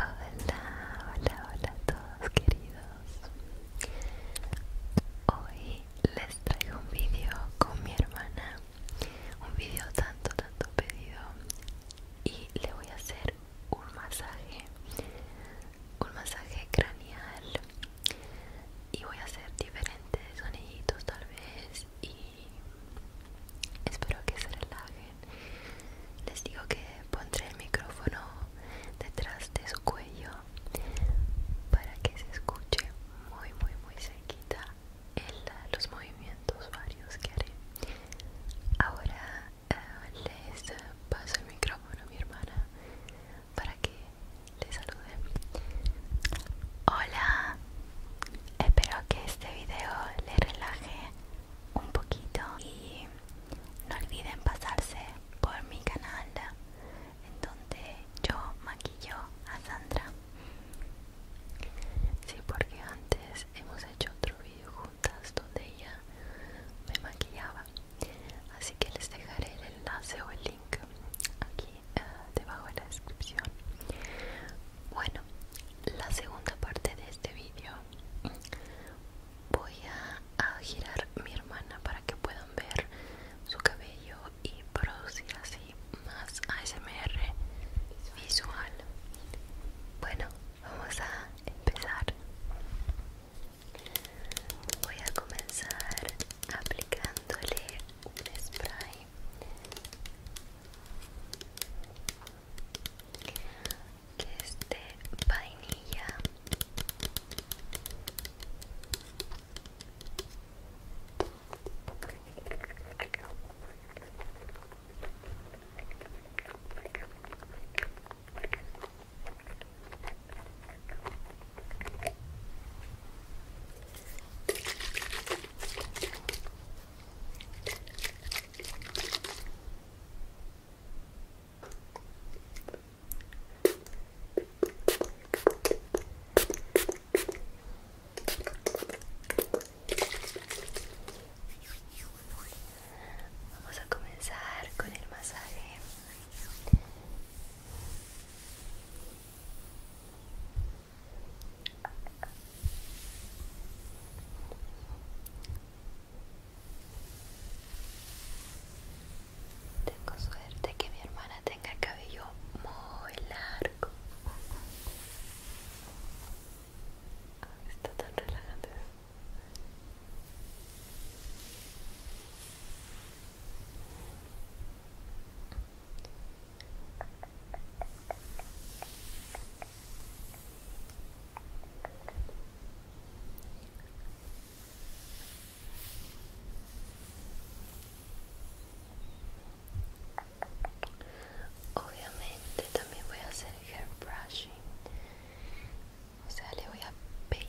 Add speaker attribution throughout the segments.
Speaker 1: Hola, hola, hola a todos queridos. Hoy les traigo un vídeo con mi hermana. Un vídeo tanto, tanto pedido. Y le voy a hacer un masaje. Un masaje craneal. Y voy a hacer diferentes soniditos tal vez y espero que se relajen. Les digo que pondré el micrófono detrás de su cuello para que se escuche muy, muy, muy cerquita los movimientos varios que haré. Ahora eh, les paso el micrófono a mi hermana para que le salude. Hola, Espero que este video le relaje un poquito y no olviden pasarse por mi canal en donde yo maquillo a Sandra. Sí, porque antes hemos hecho otro video juntas donde ella me maquillaba. Así que les dejaré el enlace o el link aquí eh, debajo de la descripción bueno, la segunda parte de este vídeo voy a, girar mi hermana para que puedan ver su cabello y producir así más ASMR visual. Bueno, vamos a empezar. Voy a comenzar aplicándole un spray que es de vainilla Vamos a comenzar con el masaje. Tengo suerte que mi hermana tenga cabello muy largo. Ah, está tan relajante. Obviamente también voy a hacer hair brushing, o sea, le voy a peinar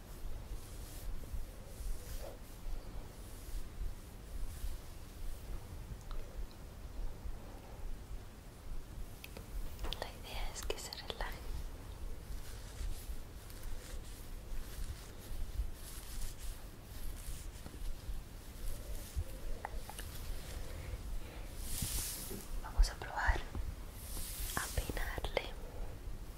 Speaker 1: La idea es que se relaje. Vamos a probar a peinarle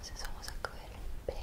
Speaker 1: Entonces vamos a coger un peine.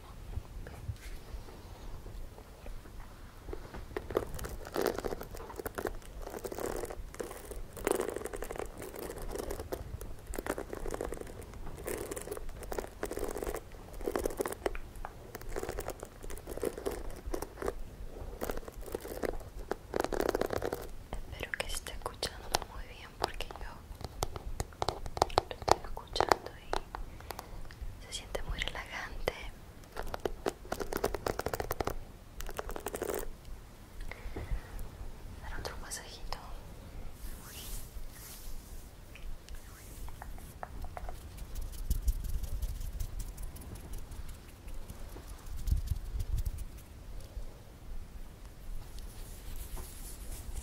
Speaker 1: Espero que esté escuchando muy bien porque yo lo estoy escuchando y se siente muy relajante dar otro masajito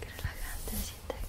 Speaker 1: que relajante se aquí.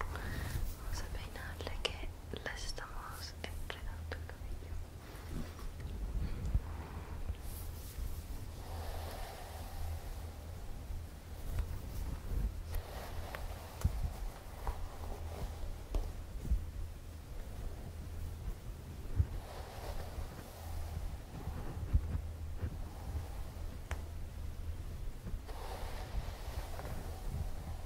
Speaker 1: Vamos a peinarle que las estamos entregando el cabello.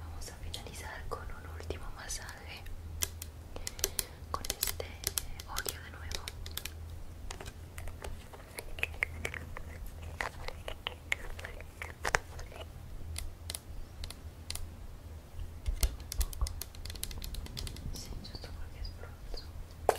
Speaker 1: Vamos a finalizar con un último masaje con este ojo de nuevo. si, todo porque es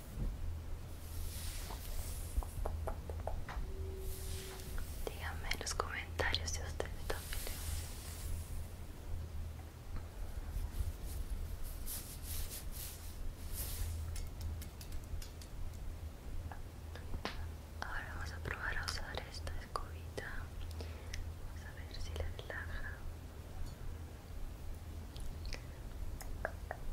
Speaker 1: Díganme en los comentarios si ustedes también le Ahora vamos a probar a usar esta escobita. Vamos a ver si la relaja.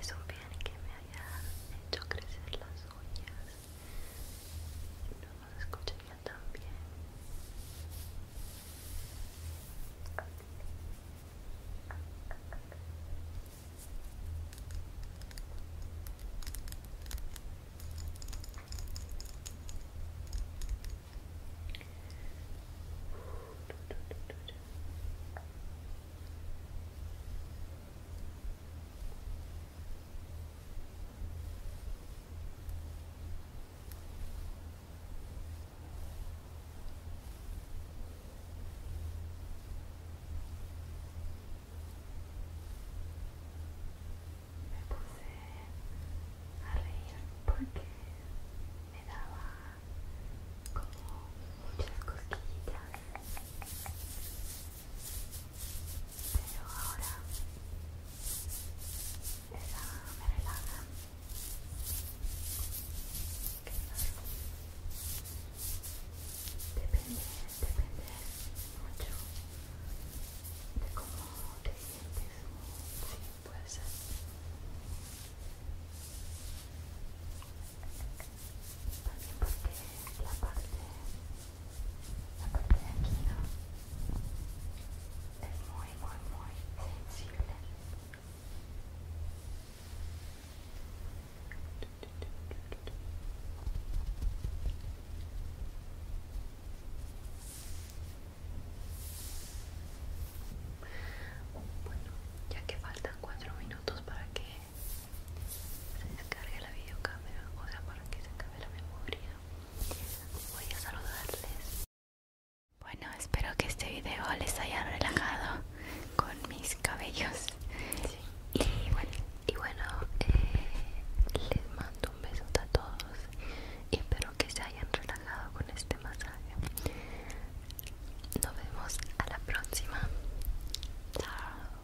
Speaker 1: Es un bien que me haya hecho crecer las uñas escucharía también me puse a reír porque me daba como muchas cosquillitas pero ahora esa me relaja depende depende mucho de cómo te sientes sí, puede ser también porque la parte la parte de aquí es muy muy muy sensible bueno ya que faltan cuatro minutos para que se la videocámara, o para que se acabe la memoria. Voy a saludarles. Bueno, espero que este video les haya relajado con mis cabellos. Y bueno, eh, les mando un beso a todos y espero que se hayan relajado con este masaje. Nos vemos a la próxima. Chao.